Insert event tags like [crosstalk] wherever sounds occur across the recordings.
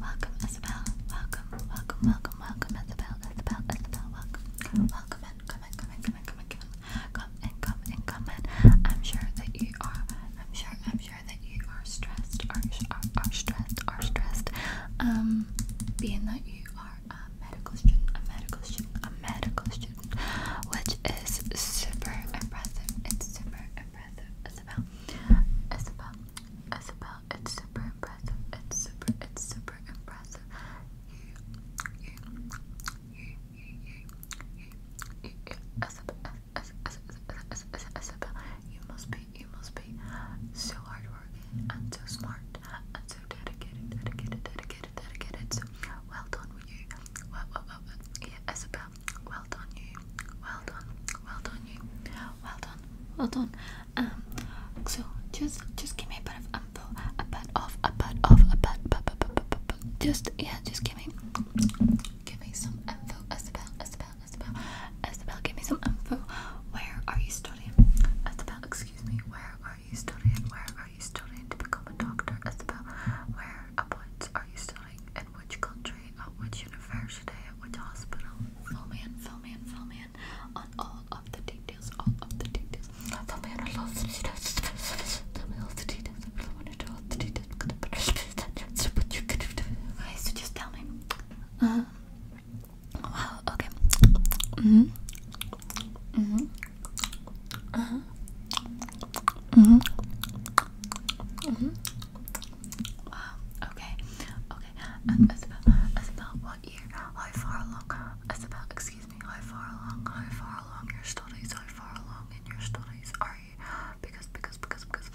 Welcome, Isabel. Welcome, welcome, welcome, welcome, Isabel, Isabel, Isabel, welcome. Welcome and come in, come in, come in, come in, come in. Come and come and come in. I'm sure that you are, I'm sure, I'm sure that you are stressed, are, are, are stressed, are stressed. Um, being that you are a medical student, a medical student, a medical student, which is super impressive. It's super impressive, Isabel. Isabel, Isabel, it's super impressive. It's super, it's super impressive. Yeah, yeah, yeah, yeah, yeah, Isabel, Isabel, you must be, you must be so hardworking and so smart and so dedicated, dedicated, dedicated, dedicated. So well done with you. well, well, well. Yeah, Isabel, well done you, well done, well done you, well done, well done. Um, so just just give me a bit of info, a bit of, a bit of, a bit, just yeah, just give me, give me some info, Isabel, Isabel, Isabel, Isabel, give me some info. Where are you studying, Isabel? Excuse me, where are you studying? Where are you studying to become a doctor, Isabel? Where about are you studying? which country, at which university, at which hospital. Fill me in, fill me in, fill me in on all of the details, all of the details. Fill me in on all of details. Tell me all the details. I really want to know details. Okay, just tell me. Uh, wow, okay. Mm-hmm. Mm-hmm. Uh-huh. Mm-hmm. Mm-hmm okay, okay. Isabel, Isabel, what year, how far along, Isabel, excuse me, how far along, how far along your studies, how far along in your studies are you? Because, because, because, because,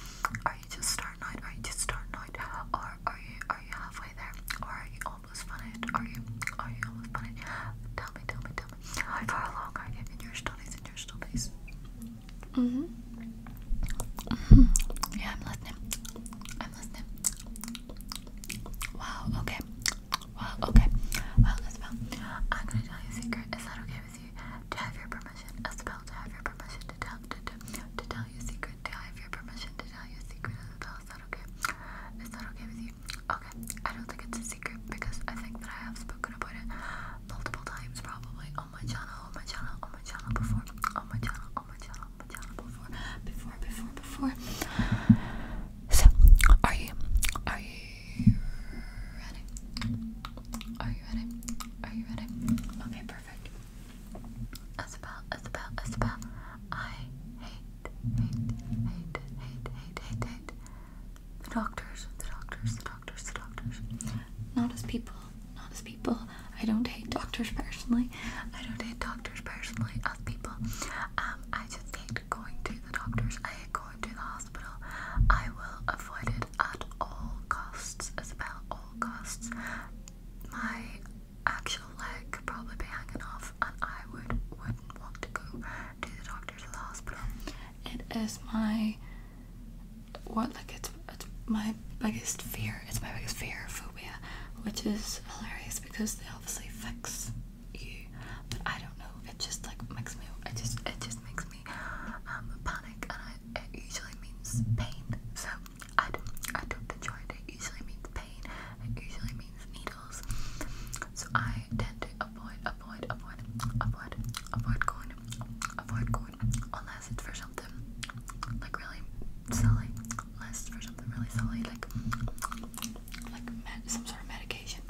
are you just starting are you just starting or are you, are you halfway there, are you almost finished, are you, are you almost finished? Tell me, tell me, tell me, how far along are you in your studies, in your studies? Mm -hmm. Mm -hmm. Yeah, I'm listening. I'm listening. Wow, okay. Well, okay. Well, Isabel, I'm gonna tell you a secret. Is that okay with you? To have your permission, Isabel, to have your permission to tell to, to, to tell you a secret, to have your permission to tell you a secret, Isabel, is that okay? Is that okay with you? Okay. I don't think it's a secret because I think that I have spoken about it multiple times probably on my channel, on my channel, on my channel before, on my channel, on my channel, on my channel before, before, before, before. So, are you, are you ready? Are you ready? Are you ready? Okay, perfect. Isabel, Isabel, Isabel, I hate, hate, hate, hate, hate, hate, hate the doctors, the doctors, the doctors doctors, the doctors. Not as people, not as people. I don't hate doctors personally. I don't hate doctors personally as people. Um, I just hate going to the doctors. I hate going to the hospital. I will avoid it at all costs, Isabel, all costs. My actual leg could probably be hanging off and I would wouldn't want to go to the doctors or the hospital. It is my what like it's, my biggest fear. It's my biggest fear, phobia, which is hilarious because they obviously fix you, but I don't know. It just like makes me. It just it just makes me um, panic, and I, it usually means pain. So I don't I don't enjoy it. It usually means pain. It usually means needles. So I tend to avoid, avoid, avoid, avoid, avoid going, avoid going unless it's for something like really silly, unless for something really silly, like like some sort of medication.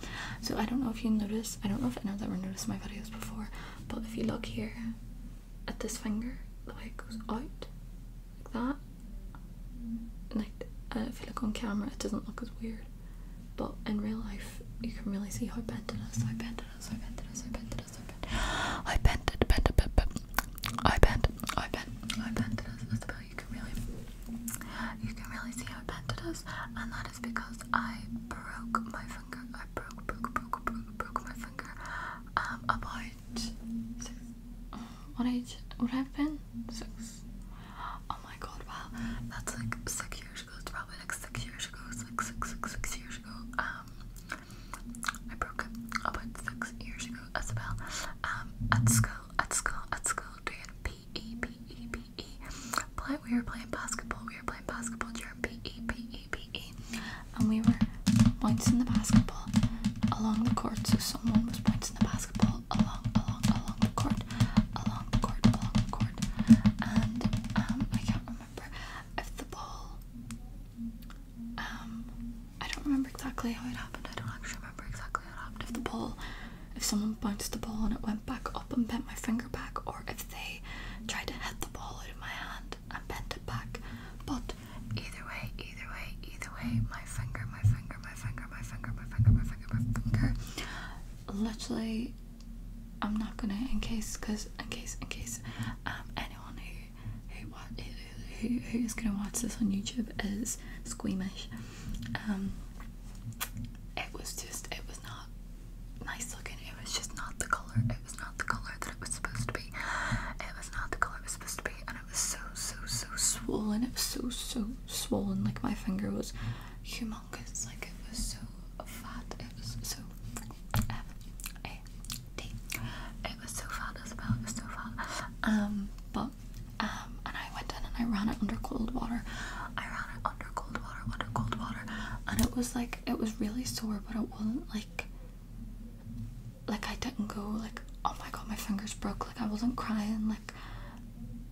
So I don't know if you notice. I don't know if anyone's ever noticed my videos before, but if you look here at this finger, the way it goes out like that, like uh, if you look on camera, it doesn't look as weird. But in real life, you can really see how bent it is, how bent it is, how bent it is, how bent it is it as I bent it, bent it, bent, bent, I bent, I bent, I bent it as, as well. You can really, you can really see how bent it is, and that is because I broke my finger. I broke, broke, broke, broke, broke my finger. Um, about six. What age would I have been? Six. Oh my god! Wow, that's like six years ago. It's probably like six years ago. It's like six, six, six years ago. Um, I broke up about six years ago as well. Um, at school, at school, at school, doing PE, PE, PE. Play, we were playing basketball, we were playing basketball during PE, PE, PE. And we were in the basketball along the court, so someone was in the basketball along, along, along the court, along the court, along the court. And um, I can't remember remember. If the ball, um, I don't remember exactly how it happened. I don't actually remember exactly how it happened. If the ball, if someone bounced the ball and it went back up and bent my finger back, or if they tried to hit the ball out of my hand and bent it back. But either way, either way, either way, my finger, my finger, my finger, my finger, my finger, my finger, my finger, my finger, literally I'm not gonna in case because in case in case um anyone who who what who, who who is gonna watch this on YouTube is squeamish. Um it was just it was not nice looking, it was just not the colour, it was not the colour that it was supposed to be. It was not the colour it was supposed to be and it was so so so swollen, it was so so swollen, like my finger was humongous, like it was so fat, it was so uh, um, I it was so fun, Isabel. It was so fun. Um, but um, and I went in and I ran it under cold water. I ran it under cold water, under cold water, and it was like it was really sore, but it wasn't like like I didn't go like oh my god my fingers broke. Like I wasn't crying. Like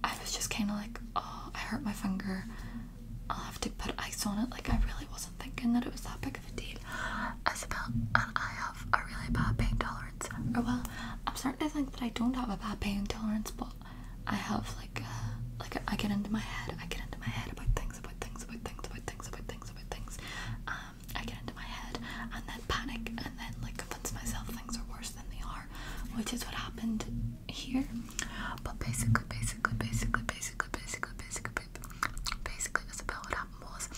I was just kind of like oh I hurt my finger. I'll have to put ice on it. Like, I really wasn't thinking that it was that big of a deal. Isabel and I have a really bad pain tolerance. Or, oh, well, I'm starting to think that I don't have a bad pain tolerance, but I have, like, uh, like I get into my head. I get into my head about things, about things, about things, about things, about things, about things. Um, I get into my head and then panic and then, like, convince myself things are worse than they are, which is what happened here. But basically, basically, basically, basically, basically, basically, with. Basically, Isabel, what happened was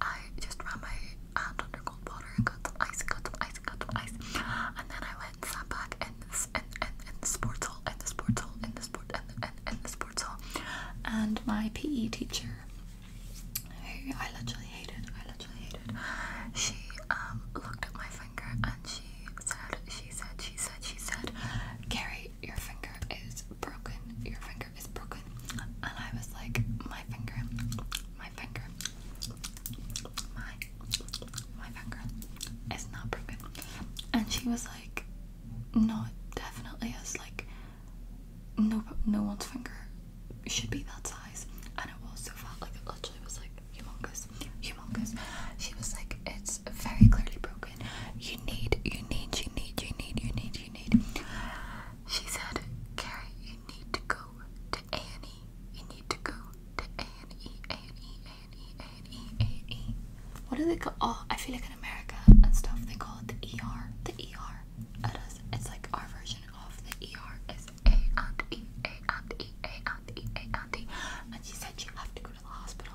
I just ran my hand uh, under cold water and got some ice, got some ice, got some ice, and then I went and sat back in this in, in, in the sports hall, in the sports hall, in the sport, in, in, in the sports hall, and my PE teacher, who I literally hated, I literally hated, she um looked at my finger and she said, she said, she said, she said, Carrie, your finger is broken, your finger is broken. And I was like, my finger, my finger, my, my finger is not broken. And she was like, no, definitely is. Like, no, no one's finger should be that size. And it was so fat, like it literally was like humongous, humongous. She was like, it's very clearly broken broken. You need, you need, you need, you need, you need, you need. She said, Carrie, you need to go to A and E. You need to go to A and E, A and E, A and E, A and E, A and E. What do they call? Oh, I feel like in America and stuff they call it the ER, the ER. It is. It's like our version of the ER is A and E, A and E, A and E, A and E. And she said you have to go the hospital.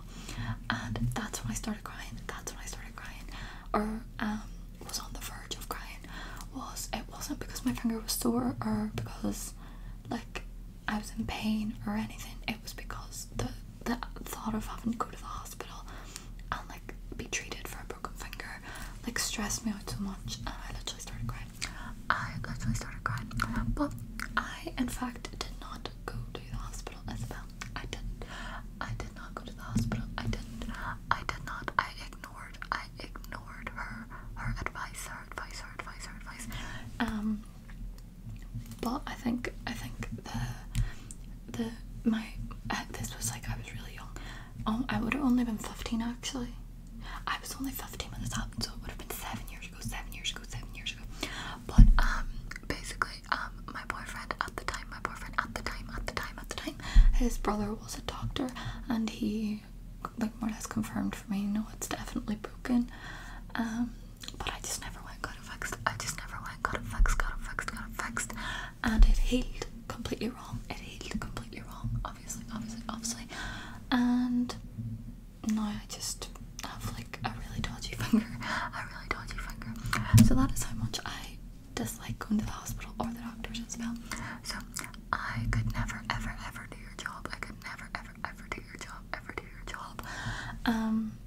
And that's when I started crying. That's when I started crying, or um, was on the verge of crying. Was it wasn't because my finger was sore or because like I was in pain or anything. It was because the the thought of having to go to the hospital and like be treated for a broken finger like stressed me out too much, and I literally started crying. I literally started crying, but I in fact did not go to the hospital hospital as well. I didn't. I did not go to the hospital. I didn't. I did not. I ignored. I ignored her. Her advice. Her advice. Her advice. Her advice. Um. But I think. I think the. The my. Uh, this was like I was really young. Um. I would have only been fifteen actually. I was only fifteen when this happened, so it would have been seven years ago. Seven years ago. Seven years ago. But um. Basically, um, my boyfriend at the time, my boyfriend at the time, at the time, at the time, his brother was a doctor, and he, like, more or less confirmed for me, no, it's definitely broken. Um, but I just never went, got it fixed. I just never went, got it fixed, got it fixed, got it fixed, and it healed completely wrong. It healed completely wrong, obviously, obviously, obviously, and no, I just have like a really dodgy [laughs] finger. A really dodgy finger. So that is how much I dislike going to the hospital or the doctors as well. So I could never, ever, ever do your job. I could never, ever, ever do your job. Ever do your job. Um,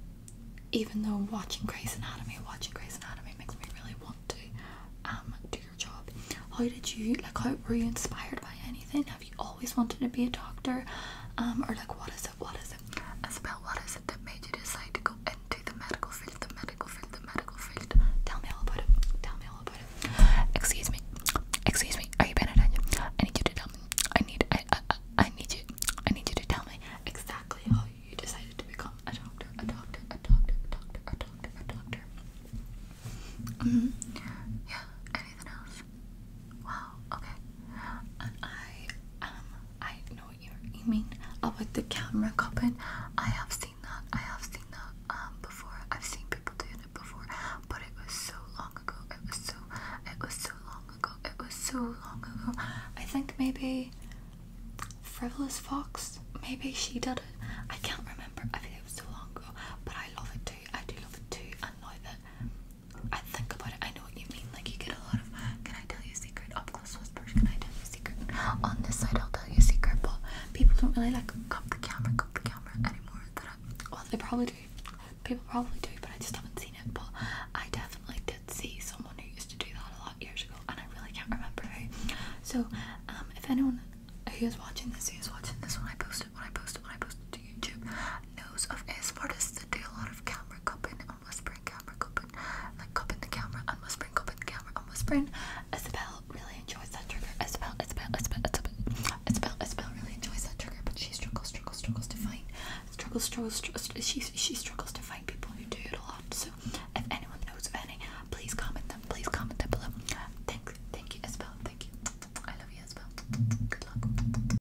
even though watching Grey's Anatomy, watching Grey's Anatomy makes me really want to um do your job. How did you like? How were you inspired by anything? Have you always wanted to be a doctor? Um, or like what is is it? What is it? what is it that made you decide to go into the medical field? The medical field, the medical field. Tell me all about it. Tell me all about it. Excuse me. Excuse me. Are you paying attention? I need you to tell me. I need. I. need you. I need you to tell me exactly how you decided to become a doctor, a doctor, a doctor, a doctor, a doctor, a doctor. Mm-hmm. Anything else? have. okay. I um I know what you're, you mean about the camera cupping. I have seen that. I have seen that um before. I've seen people doing it before, but it was so long ago. It was so it was so long ago. It was so long ago. I think maybe Frivolous Fox, maybe she did it. I can't remember. I think it was so long ago. But I love it too. I do love it too. And now that I think about it. I know what you mean. Like you get a lot of can I tell you a secret? Up close whispers, can I tell you a secret? On this side I'll tell you a secret, but people don't really like cup the camera, cup the camera anymore. Uh, well they probably do. People probably do, but I just haven't seen it. But I definitely did see someone who used to do that a lot years ago and I really can't remember who. So, um if anyone who is watching this, who is watching this when I posted, when I posted, when I posted to YouTube, knows of a Spartacus that do a lot of camera cupping and whispering, camera cupping, am cupping the camera I and whispering, cupping the camera I and whispering. Isabel really enjoys that trigger. Isabel, Isabel, Isabel, Isabel, Isabel, Isabel really enjoys that trigger, but she struggles, struggles, struggles to find, struggles, struggles, struggles she, she struggles to find people who do it a lot. So if anyone knows of any, please comment them, please comment them below. Thank, thank you, Isabel, thank you. I love you, Isabel. Good luck.